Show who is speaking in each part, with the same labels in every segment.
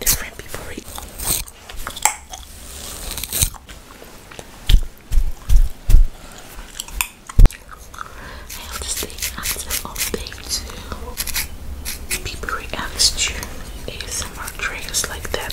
Speaker 1: Different people read. I have to stay active all day too. People react to ASMR triggers like that.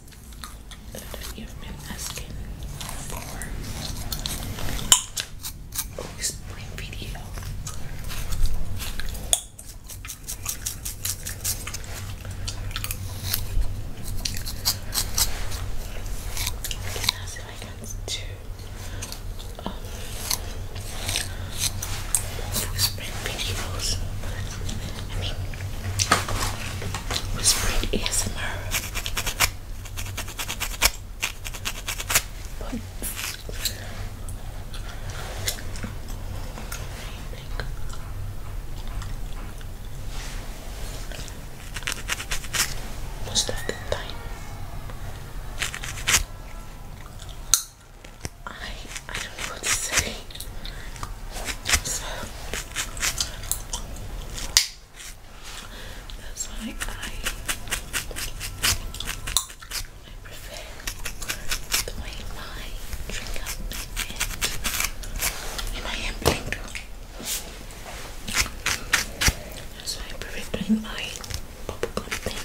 Speaker 1: that you asking for a spring video. Okay, now I can do um, whispering videos. I mean, whispering ASMR most of the time I I don't know what to say. So that's why I, I prefer the way my trigger and I am blinked. That's why I prefer doing my popcorn thing.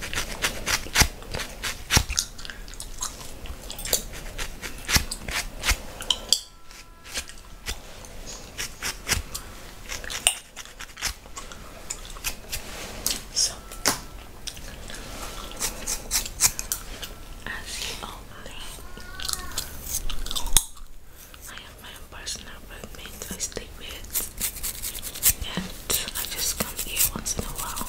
Speaker 1: So, as you all know, I have my own personal roommate I stay with, and I just come here once in a while.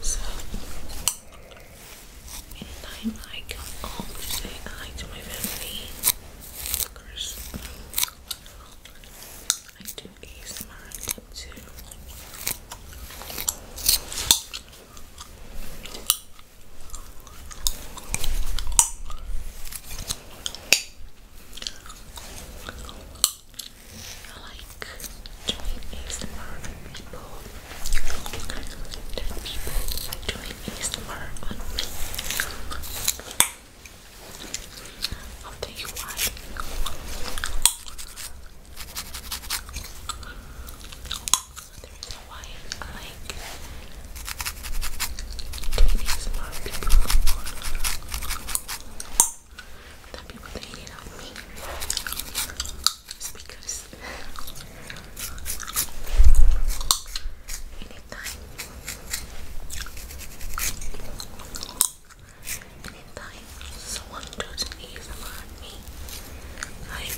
Speaker 1: So, anytime I come home to say hi to my family, of I do ASMR too. I like doing ASMR on people and people like doing ASMR on me. I'll you why. The reason why I like doing ASMR on people that people hate on me is because anytime, anytime someone does an ASMR on me, like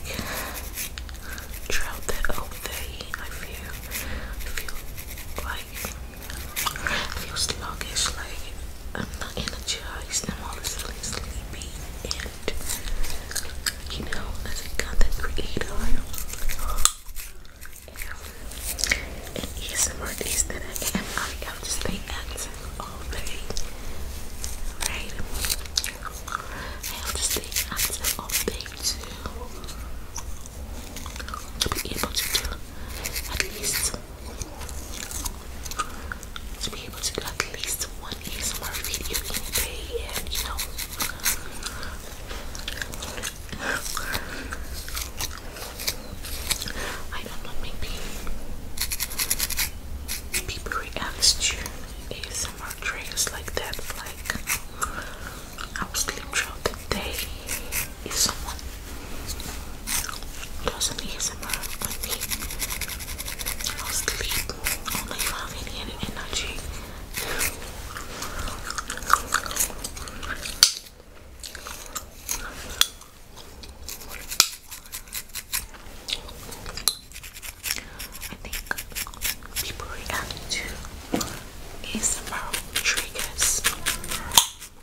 Speaker 1: throughout the whole I feel, I feel like I feel sluggish, like I'm um, not energized, I'm always feeling sleepy, and you know, as a content creator, and ASMR is that I am, I have to stay active all day, right? I have to stay active all day too to be able to do at least to be able to do at least one ASMR video in day and you know I don't know maybe people react to ASMR triggers like that like I will sleep throughout the day if someone does an ASMR with me. I'll sleep only if I energy. I think people react to ASMR triggers I'm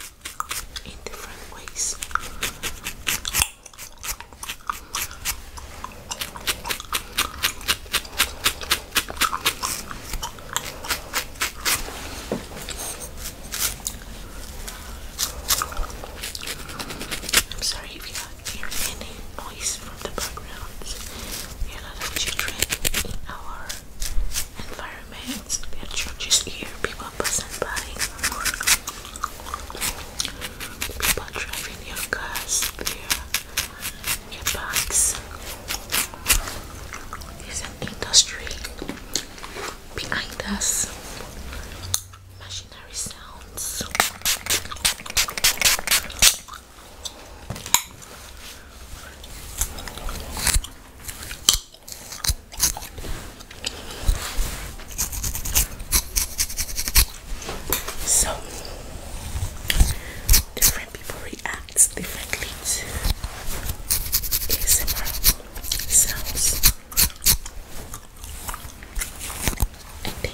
Speaker 1: sorry if you hear any noise from the background. We have a children our environment. Their churches here, people passing by, people driving their cars, their, their bags. There's an industry behind us. Machinery sounds. So different people react differently to ASMR sounds. I think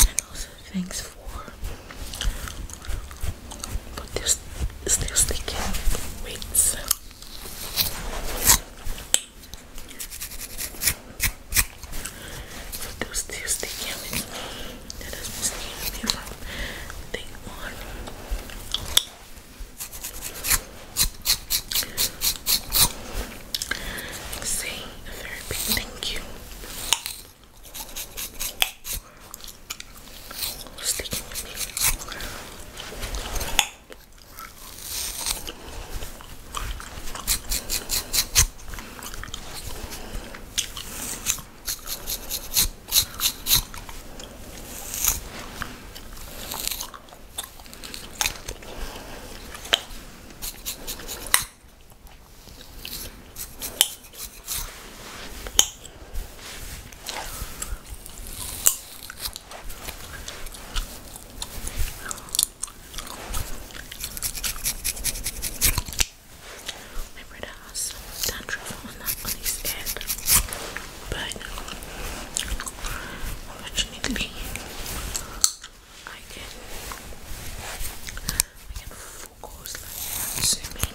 Speaker 1: And also thanks for but there's still sticking weights. So those still sticking with me. That has been sticking with me one. Say very big thank you. Sticking with me. Remember has some on, that, on his but fortunately, I can I can focus like zooming,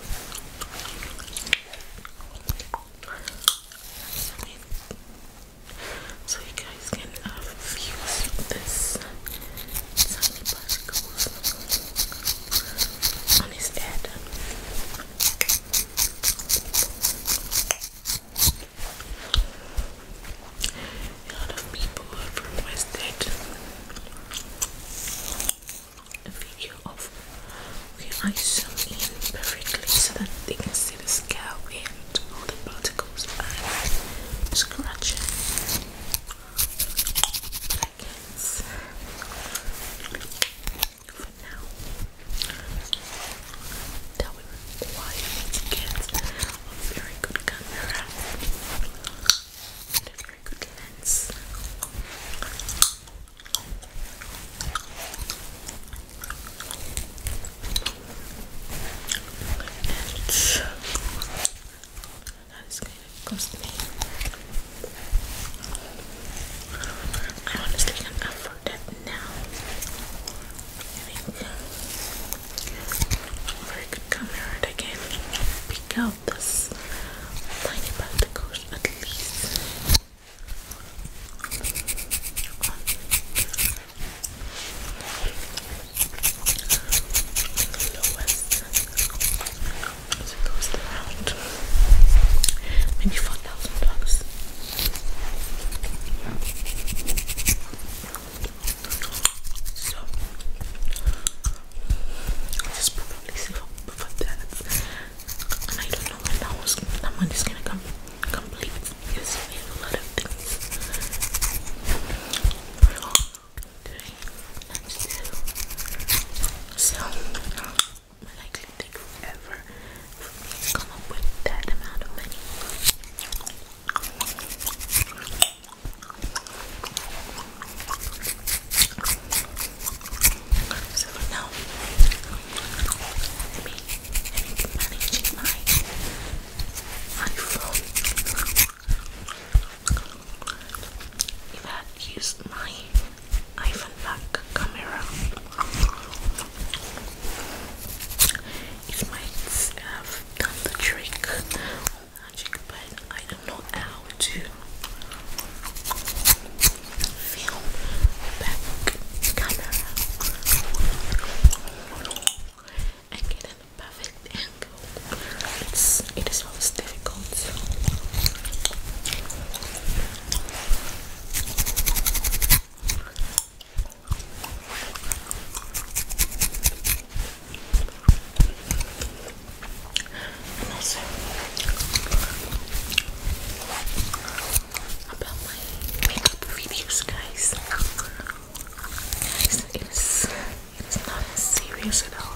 Speaker 1: zooming, so you guys can have uh, views of this tiny on his head. A lot of people have requested a video of where I zoom in perfectly so that they can see the scalp and all the particles I'm I can for now. That would require me to a very good camera and a very good lens. And that is going to cost me I honestly can't afford that now. I think very good camera that pick out this tiny particles at least. So it cost around maybe four thousand dollars. So i probably save up for that. I don't know when that was money's gonna come complete because so likely take forever to come up with that amount of money. So for now, me, let me keep managing my iPhone. If I had used my iPhone back camera. It might have done the trick magic, but I don't how to film back camera and get a perfect angle. It's always difficult. And also about my makeup reviews, guys. Guys, it is it is not serious at all.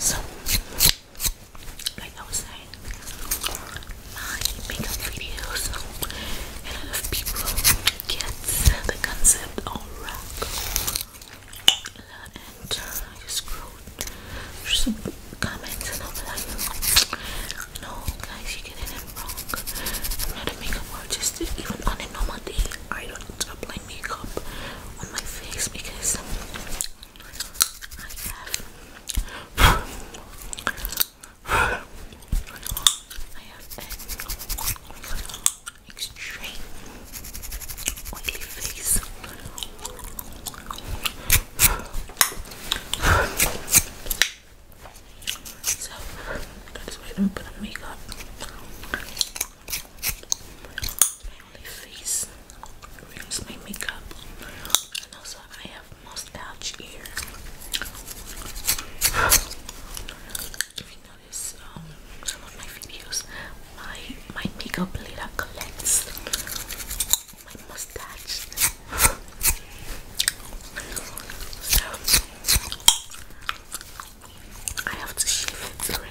Speaker 1: So, like I was saying, my makeup videos, a lot of people get the concept on rock. And through some comments and all that, like, guys, you get it wrong. not a makeup artist, even on a normal day. I don't apply makeup on my face because I have extreme oily face. So that is why I do put on makeup my face ruins my makeup and also I have mustache here if you notice um, some of my videos my my makeup later my mustache so I have to shave it regularly.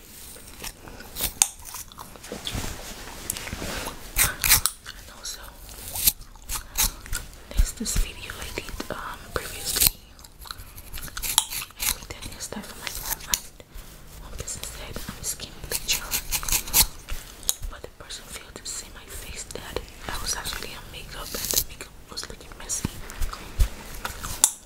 Speaker 1: And also, there's this video I um, previously. I made that new stuff for my girlfriend. One person said I'm a skinny picture, but the person failed to see my face that I was actually on makeup and the makeup was looking messy.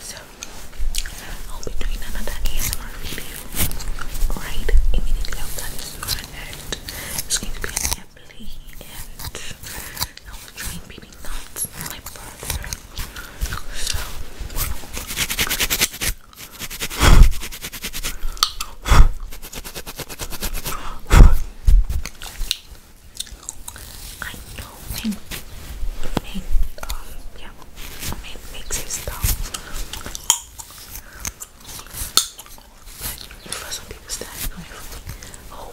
Speaker 1: So, I'll be doing another ASMR video right immediately after this one, and it's going to be Emily, and I was trying baby nuts, So, I know pain, pain, um, yeah, pain makes you stop. But for some people, that's Oh,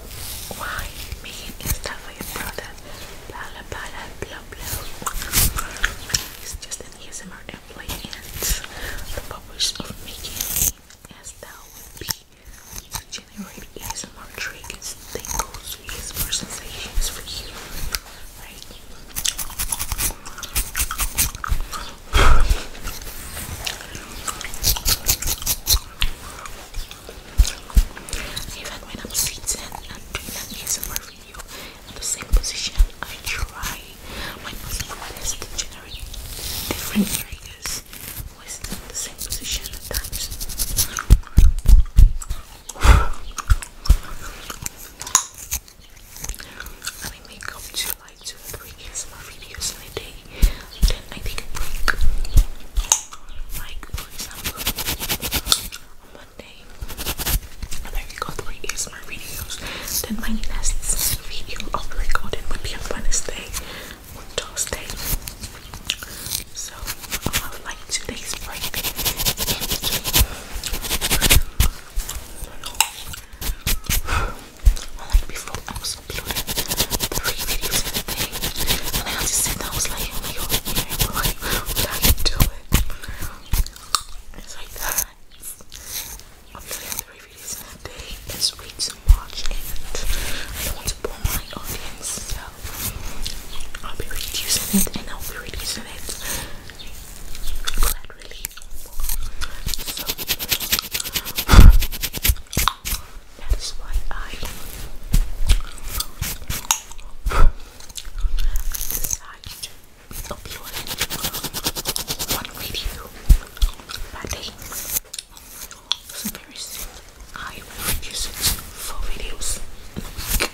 Speaker 1: why me and stuff for your brother? Blah blah blah blah blah. It's just an ASMR employee and the purpose of making me as would be you generate ASMR triggers, tingles, ASMR sensations for you, right? Even when I'm sitting and doing an ASMR video in the same position, I try my best to generate different triggers always in the same position at times. I make up to like two or three ASMR videos in a day. Then I take a break. Like on Monday, I record three ASMR videos. Then my next video of recording would be on Wednesday with So I would like two days break Like before I was uploading three videos a day. And I had to sit was like, oh my god, yeah, like, how do you do it? It's like that three videos in a day. It's way too much, and I don't want to bore my audience, so I'll be reducing it, and I'll be reducing it gradually. So that is why I decided to upload one video per day. So very soon, I will produce it to four videos